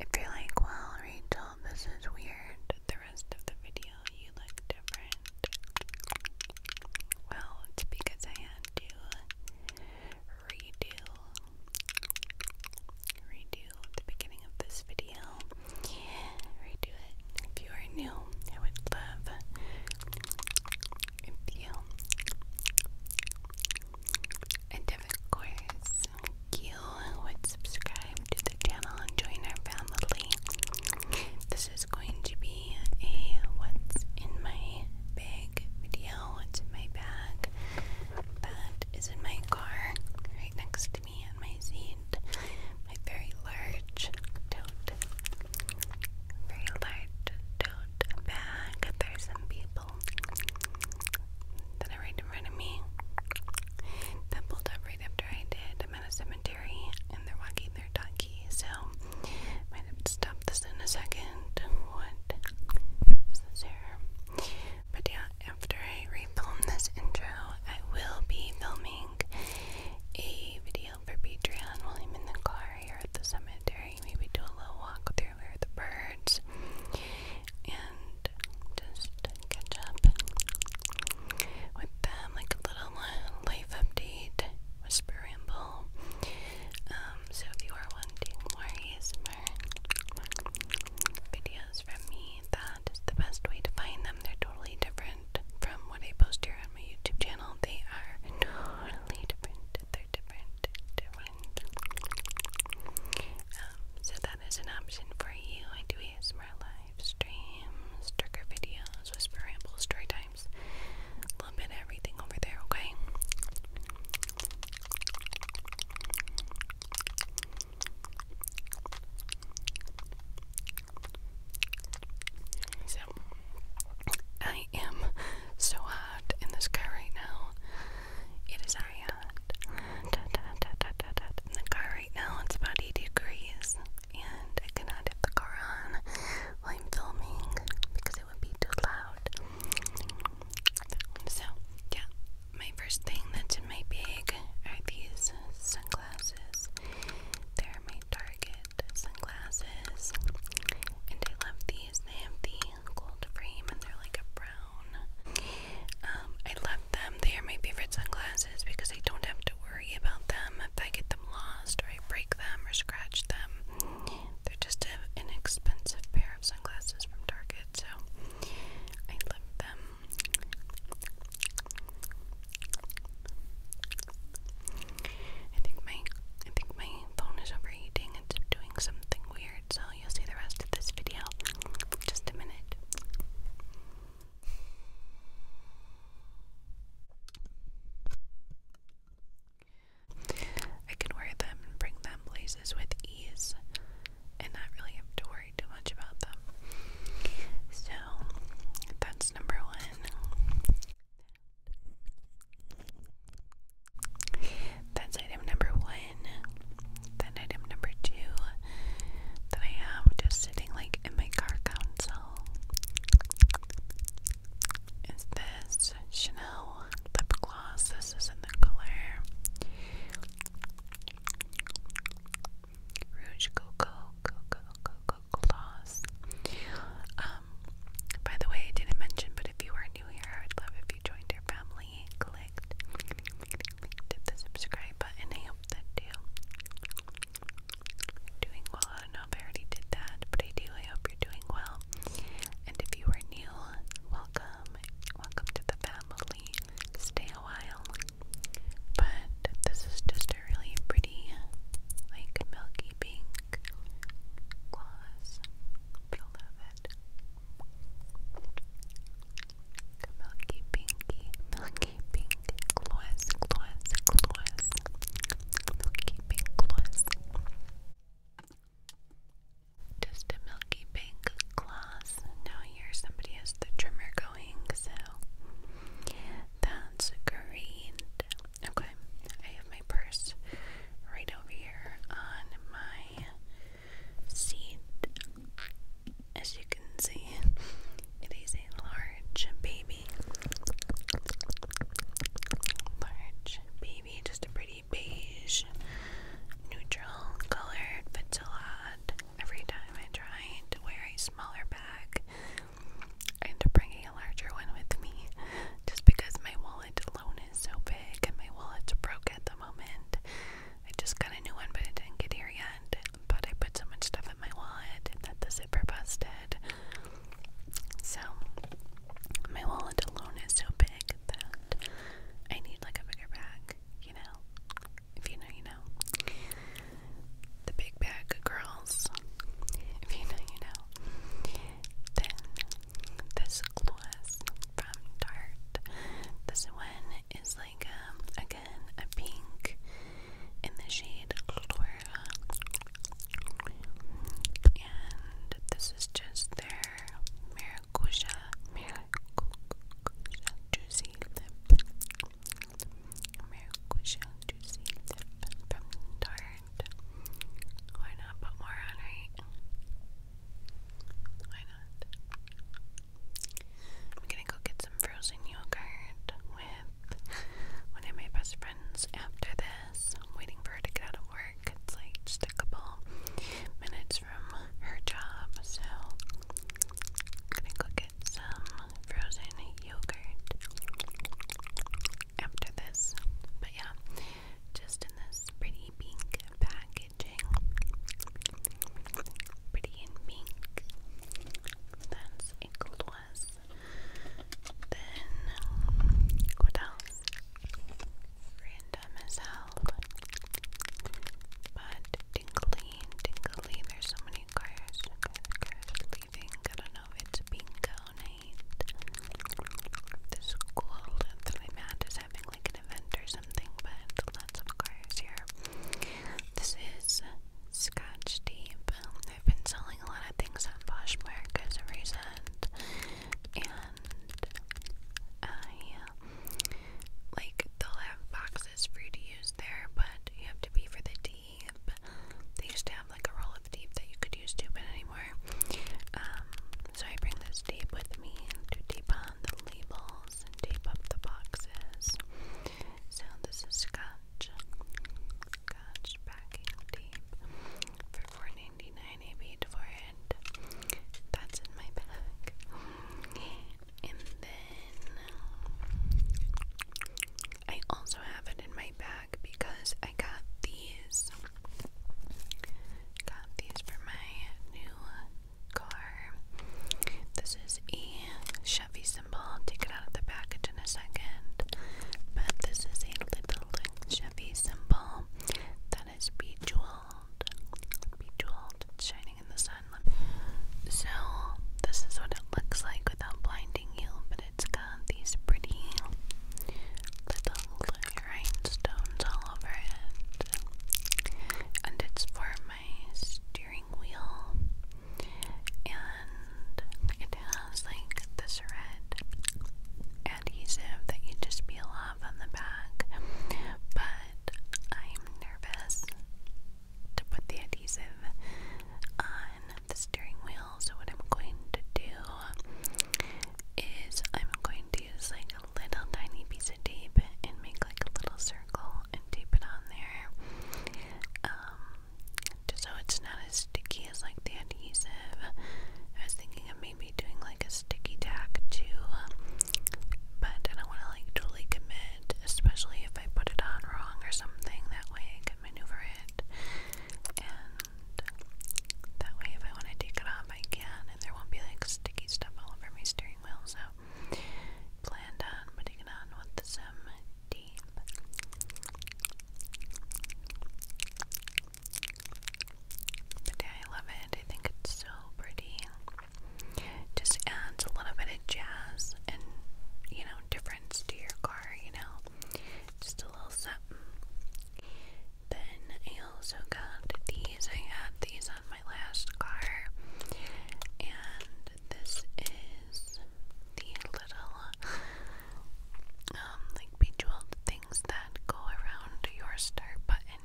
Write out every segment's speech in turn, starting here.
If you're like, well, Rachel, this is weird, the rest of the video you look different. Well, it's because I had to redo, redo the beginning of this video. Redo it. If you are new, I would love reveal. And of course, you would subscribe to the channel and join our family. This is going to be a what's in my bag video. What's my bag? That is in my car, right next to me on my seat. My very large tote. Very large tote back. There's some people that are right in front of me that pulled up right after I did. I'm at a cemetery and they're walking their donkey, so might have to stop this in a second. What is But yeah, after I refilm this intro, I will be filming a video for Patreon while I'm in the car here at the cemetery. Maybe do a little walk through where the birds and just catch up with them, like a little life update, whisper ramble. Um, so if you are wanting more ASMR videos from me, that is the best way to find them. They're totally different from what I post here on my YouTube channel. They are totally different they different, different. Um, so that is an option for you. I do ASMR live streams, trigger videos, whisper rambles, story times, a little bit of everything over there, okay? So I am so hot in this car right now. It is very hot. In the car right now, it's about 80 degrees, and I cannot have the car on while I'm filming because it would be too loud. So, yeah, my first thing that's in my bag are these sunglasses. They're made Target sunglasses. And I love these. They have the gold frame and they're like a brown. Um, I love them. They are my favorite sunglasses because I don't have to worry about them if I get them lost or I break them or scratch them. They're just an inexpensive pair of sunglasses from Target, so I love them. I think my I think my phone is overheating. It's doing something weird, so you'll see the rest of this video just a minute. I can wear them bring them places with ease and not really have to worry too much about them. So that's number one. That's item number one. Then item number two that I have just sitting like in my car console is this Chanel lip gloss. This is in the color Rouge Coco Coco Coco Gloss. Um, um, by the way, I didn't mention, but if you are new here, I would love if you joined our family clicked, clicked the subscribe button. I hope that you doing well. I don't know if I already did that, but I do. I hope you're doing well. And if you are new, welcome. Welcome to the family. Stay a while. But this is just a really pretty, like milky pink Qualis, Beloved, Milky Pinky, Milky Pink, Gloss, Gloss, Gloss, Milky Pink Gloss. Just a milky pink gloss. Now here somebody has the trimmer going, so that's great. Okay, I have my purse right over here on my seat. As you can see, it is a large baby. Large baby, just a pretty beige, neutral color. Fits a lot. Every time I try to wear a smaller bag and to bring a larger one with me just because my wallet alone is so big and my wallet's broke at the moment. I just got a new one, but it didn't get here yet. But I put so much stuff in my wallet that the zipper busted. So, my wallet alone is so big that I need like a bigger bag, you know? If you know, you know. The big bag girls, if you know, you know. Then this gloss from Tarte. This one is like um, again a pink in the shade Laura. And this is just their maracuja maracuja juicy lip. Maracuja juicy lip from Tarte. Why not put more on, right? Why not? I'm gonna go get some frozen yogurt with one of my best friends after this. I'm waiting for her to get out of work. It's like just minutes from her job, so I'm gonna go get some frozen yogurt after this. But yeah, just in this pretty pink packaging. Pretty in pink. That's a gloss. Then, what else? Random as hell. But tingly, tingly. There's so many cars, leaving. I do know if it's bingo night. The school that is having like an event or something, but lots of cars here. This is Scotch Deep. I've been selling a lot of things on Poshmark as a result, and I like they'll have boxes for you to use there, but you have to pay for the deep. They used like a roll of tape that you could use tubing anymore. Um, so I bring this tape with me to tape on the labels and tape up the boxes. So this is Scotch, Scotch backing tape for four ninety nine. I paid for it. That's in my bag. And then I also have it in my bag because I got these. Got these for my new car. This is a Chevy symbol. I'll take it out of the package in a second. But this is a little Chevy symbol that is bejeweled. Bejeweled. It's shining in the sun. So, this is what it looks like without blinding you. But it's got these pretty little rhinestones all over it. And it's for my steering wheel. And it has like this red adhesive that you just peel off on the back. But I'm nervous to put the adhesive on the steering wheel. So, what I'm going to do is I'm going to use like a little tiny piece of tape and make like a little circle and tape it on there. Um, just so it's not as sticky as like the adhesive. I was thinking of maybe doing like a sticky tack too, but I don't want to like totally commit, especially if I put it on wrong or something. That way I can maneuver it that way, if I want to take it off, I can, and there won't be like sticky stuff all over my steering wheel. So, planned on putting it on with some tape. But yeah, I love it. I think it's so pretty. Just adds a little bit of jazz and you know difference to your car. You know, just a little something. Then I also got these. I had these on my last car. And this is the little um like bejeweled things that go around your start button.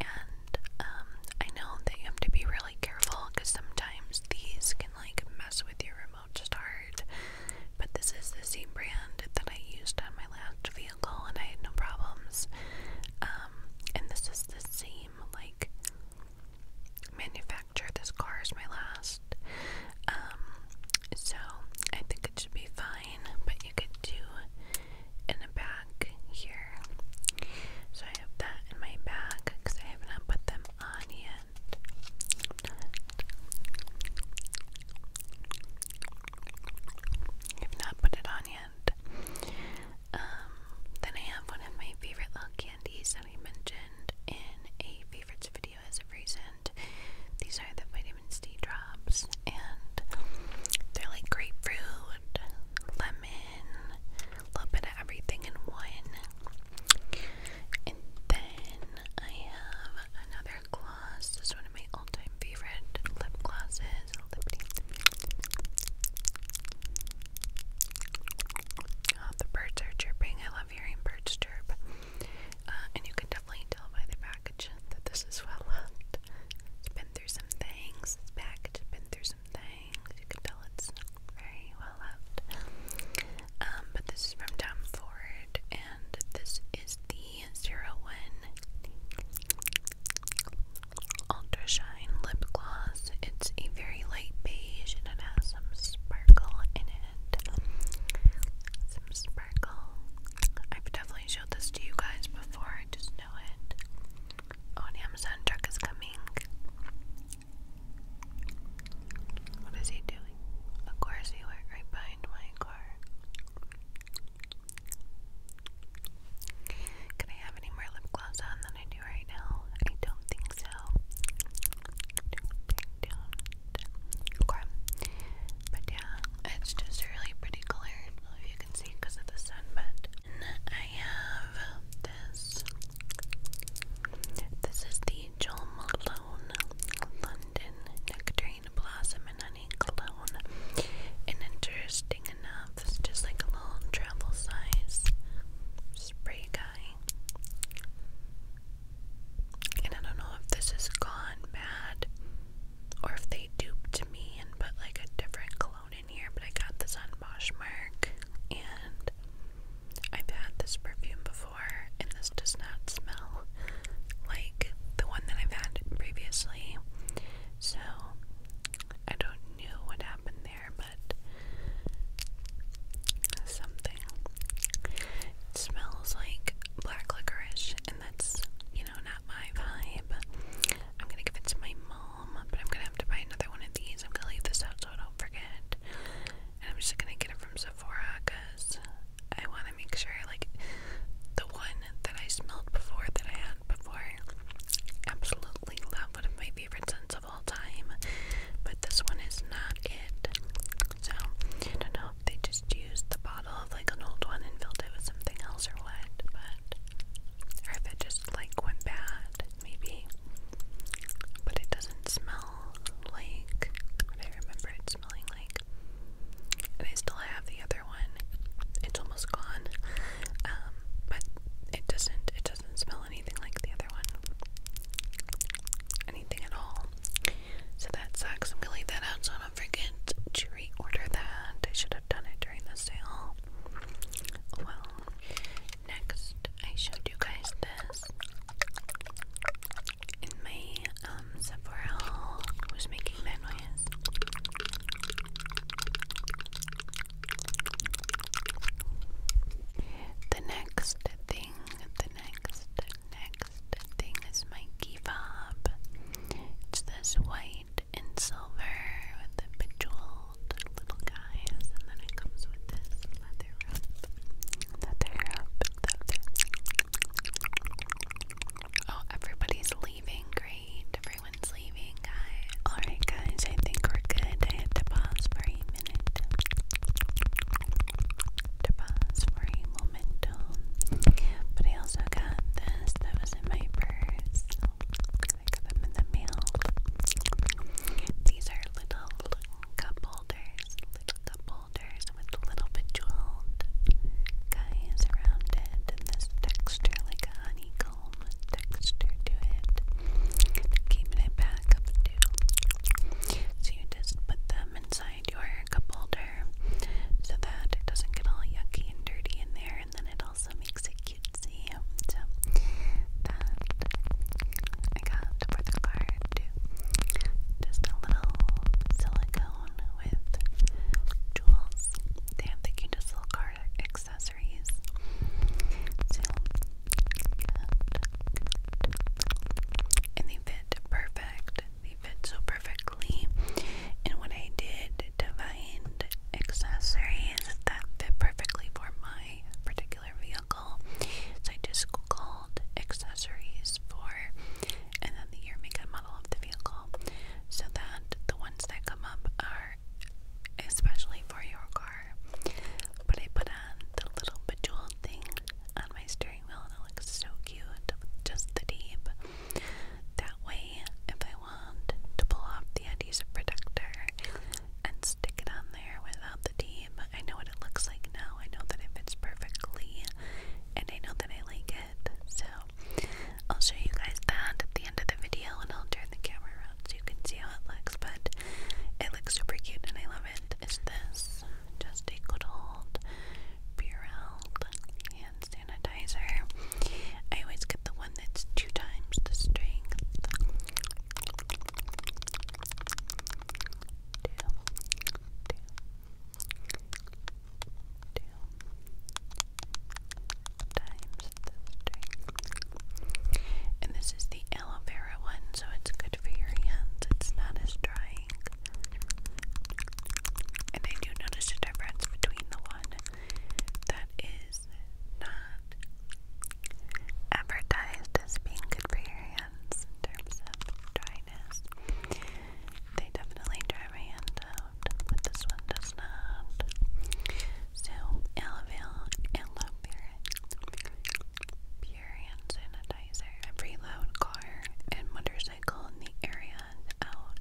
and um I know that you have to be really careful because sometimes these can like mess with your remote Mozart, but this is the same brand that I used on my last vehicle and I had no problems. Um, and this is the same, like, manufacturer. This car is my last. Um, so I think it should be fine, but you could do in the back here. So I have that in my bag because I have not put them on yet. I've not put it on yet. Um, then I have one of my favorite little candies that we mentioned in a favorites video as of recent. These are the vitamin C drops, and they're like grapefruit, lemon, a little bit of everything in one. And then I have another gloss. This is one of my all time favorite lip glosses. Oh, the birds are chirping. I love hearing birds chirp. Uh, and you can definitely tell by the package that this is well loved. It's been through some things. This package has been through some things. You can tell it's very well loved. Um, but this is from Tom Ford, and this is the Zero One Ultra Shine Lip Gloss. It's a very light beige, and it has some sparkle in it. Some sparkle. I've definitely showed this to you guys before. I just know it. Oh, Amazon truck is coming. What is he doing? Of course he went right behind my car. Can I have any more lip gloss on than I do right now? I don't think so. Okay. But yeah, it's just really pretty color. I don't know if you can see because of the sun, but I have this. This is the Angel Malone London Nectarine Blossom and Honey Cologne. And interesting enough, it's just like a little travel size spray guy. And I don't know if this is gone bad or if they duped me and put like a different cologne in here, but I got this on Mark, and I've had this perfume before before, and this does not smell like the one that I've had previously. So I don't know what happened there, but something. It smells like black licorice, and that's, you know, not my vibe. I'm gonna give it to my mom, but I'm gonna have to buy another one of these. I'm gonna leave this out so I don't forget. And I'm just gonna get it from Sephora because I want to make sure, like, the one that I smelled before, that I had before, absolutely love, one of my favorite scents of all time, but this one is not it. So, I don't know if they just used the bottle of, like, an old one and filled it with something else or what, or if it just, like, went bad, maybe, but it doesn't smell like I remember it smelling like and I still have the other one. It's almost gone. Um, but it doesn't it doesn't smell anything like the other one. Anything at all. So that sucks. I'm gonna leave that out so I don't forget to reorder that. I should have done it during the sale. Well, next I showed you guys this in my um, Sephora haul was making that noise. The next thing, the next, next thing is my key fob. It's this white and silver with the bejeweled little guys, and then it comes with this Oh, everybody's leaving. Great. Everyone's leaving, Alright, guys, I think we're good. I had to pause for a minute. To pause for a momentum. But I also got this that was in my purse. I got them in the mail. These are little cup holders. Little cup boulders with little bejeweled guys around it and this texture like a honeycomb texture to it to it back up too. So you just put them inside your cup holder so that it doesn't get all yucky and dirty in there and then it also makes it cutesy. So I got for the card. Just a little silicone with jewels. They have the little card accessories. So, and they fit perfect. They fit so perfectly. And what I did find accessories that fit perfectly for my particular vehicle, so I just Googled accessories for and then the year, make, model of the vehicle so that the ones that come up are especially for your car. But I put on the little bejeweled thing on my steering wheel and it looks so cute with just the tape. That way, if I want to pull off the adhesive protector and stick it on there without the tape, I know what it looks like now. I know that it fits perfectly and I know that I like it. So I'll show you guys that at the end of the video and I'll turn the camera around so you can see how it looks, but it looks super cute and I love it. Is this just a good old Burel hand sanitizer? I always get the one that's two times the strength. Two, two, two, times the string. And this is the aloe vera one, so it's good for your hands. It's not as drying. And I do notice a difference between the one that is not advertised as being good for your hands in terms of dryness. They definitely dry my hand out, but this one does not. So, aloe vera, aloe pure hand sanitizer. Every loud car and motorcycle in the area out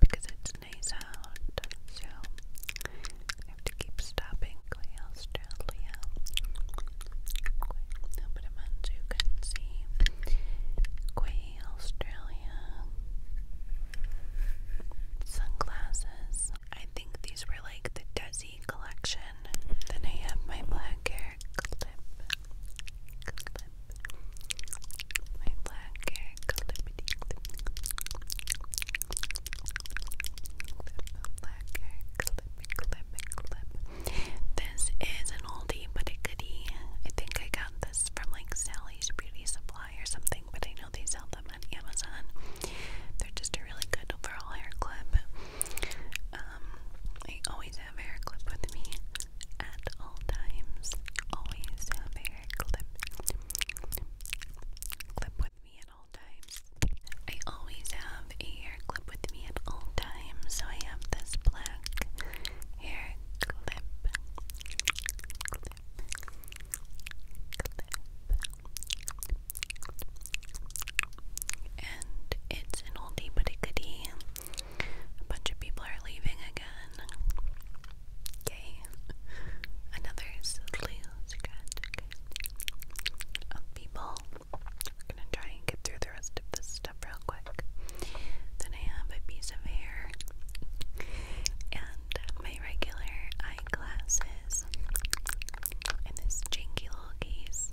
because it's nice out. So, I have to keep stopping. Australia. I'll can see. Quay, Australia. Sunglasses. I think these were like the Desi collection. Then I have my black hair clip. My black hair clip. clip. Black hair clip clip, clip. This is an oldie but a goodie. I think I got this from like Sally's Beauty Supply or something, but I know they sell them on Amazon. They're just a really good overall hair clip. Um, I always have hair clip with me at all times. Always have hair clip, clip with me at all times. I always have a clip with me at all times. So I have this black hair clip. And it's an oldie but a goodie. A bunch of people are leaving again. Okay. Another slew of people. I'm gonna try and get through the rest of this stuff real quick. Then I have a piece of hair and my regular eyeglasses in this janky little case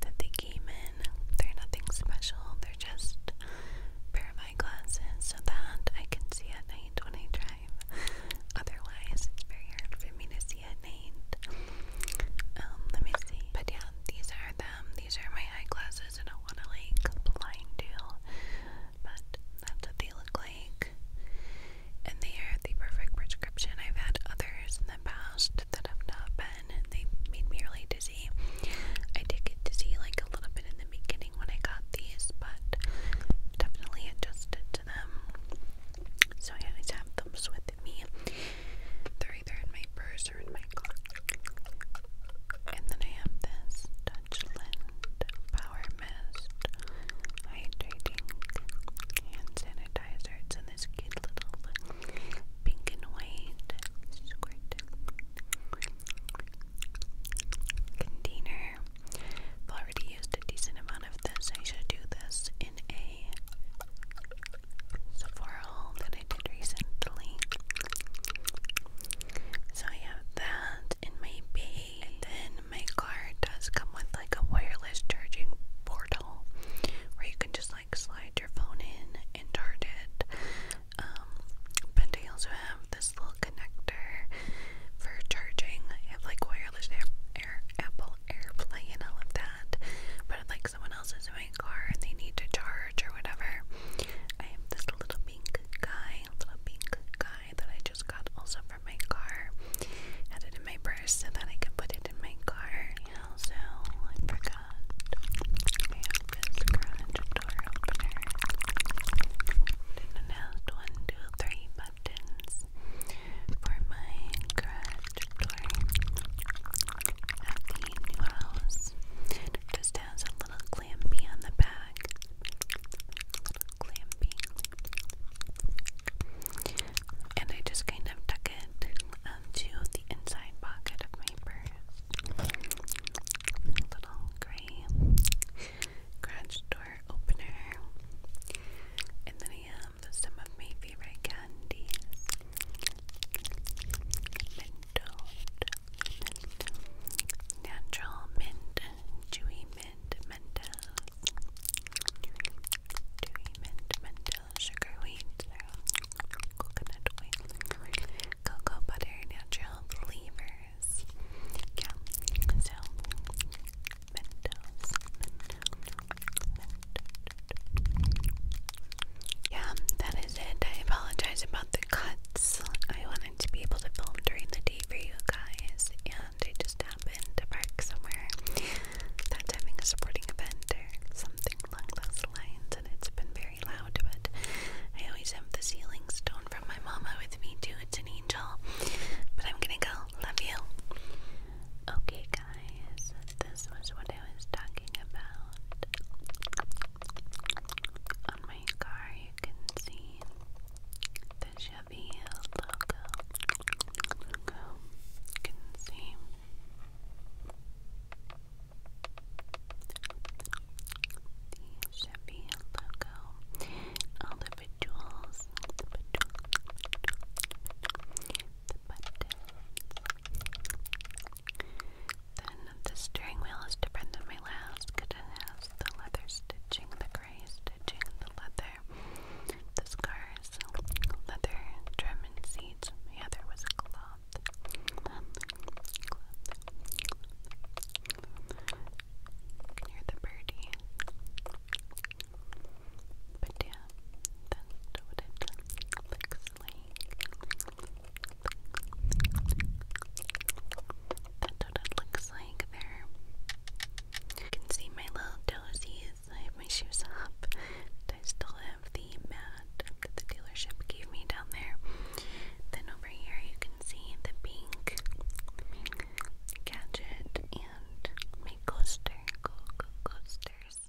that they came in. They're nothing special, they're just pair of eyeglasses so that I can see at night when I drive. Otherwise, it's very hard for me to see at night. Um, let me see. But yeah, these are them. These are my eyeglasses. I don't want to like blind you, but that's what they look like. And they are the perfect prescription. I've had others in the past that have not been. They made me really dizzy. I did get dizzy like a little bit in the beginning when I got these, but definitely adjusted to them. So I always have those with me either in my purse or in my car. And then I have this Touchland Power Mist Hydrating Hand Sanitizer. It's in this cute little pink and white squirt container. I've already used a decent amount of this. I should do this in a Sephora haul that I did recently. So I have that in my then my car does come with like a wireless charging portal where you can just like slide your phone in and charge it. Um, but I also have this little connector for charging. I have like wireless air, Apple AirPlay and all of that. But like someone else's, so I car and they need to charge or whatever. I have this little pink guy, little pink guy that I just got also from my car. Had it in my purse so that I could put it in my car. Also, I forgot I have this garage door opener. It announced one, two, three buttons for my garage at the new house. It just has a little clampy on the back. Little clampy. And I just kind of tuck it into the inside pocket of my purse. little gray garage door opener. And then I uh, um, some of my favorite candies. Mentoed, natural mint, chewy mint, mental, chewy mint, mental, sugar wheat, coconut oil, cocoa butter, natural flavors. Yeah, so mentos, mentos, yeah, that is it. I apologize about the cuts. I wanted to be able to film during the day for you guys, and I just happened to park somewhere That having a sporting event or something along those lines, and it's been very loud. But I always have the ceiling stone from my mama with me, too. It's an angel. But I'm gonna go. Love you. Okay, guys, this was what I was talking about. On my car, you can see the Chevy logo. You can see the Chevy logo, all the bejewels, the Then the steering wheel is different than my last it has the leather stitching, the gray stitching, the leather, the scars, leather trim and seats. The other was cloth. Near the birdie. But yeah, that's what it looks that's what it looks like there. You can see my little dozies. I have my shoes up. I still have the mat that the dealership gave me down there. Then over here you can see the pink, gadget and my coaster. Go, go, coasters.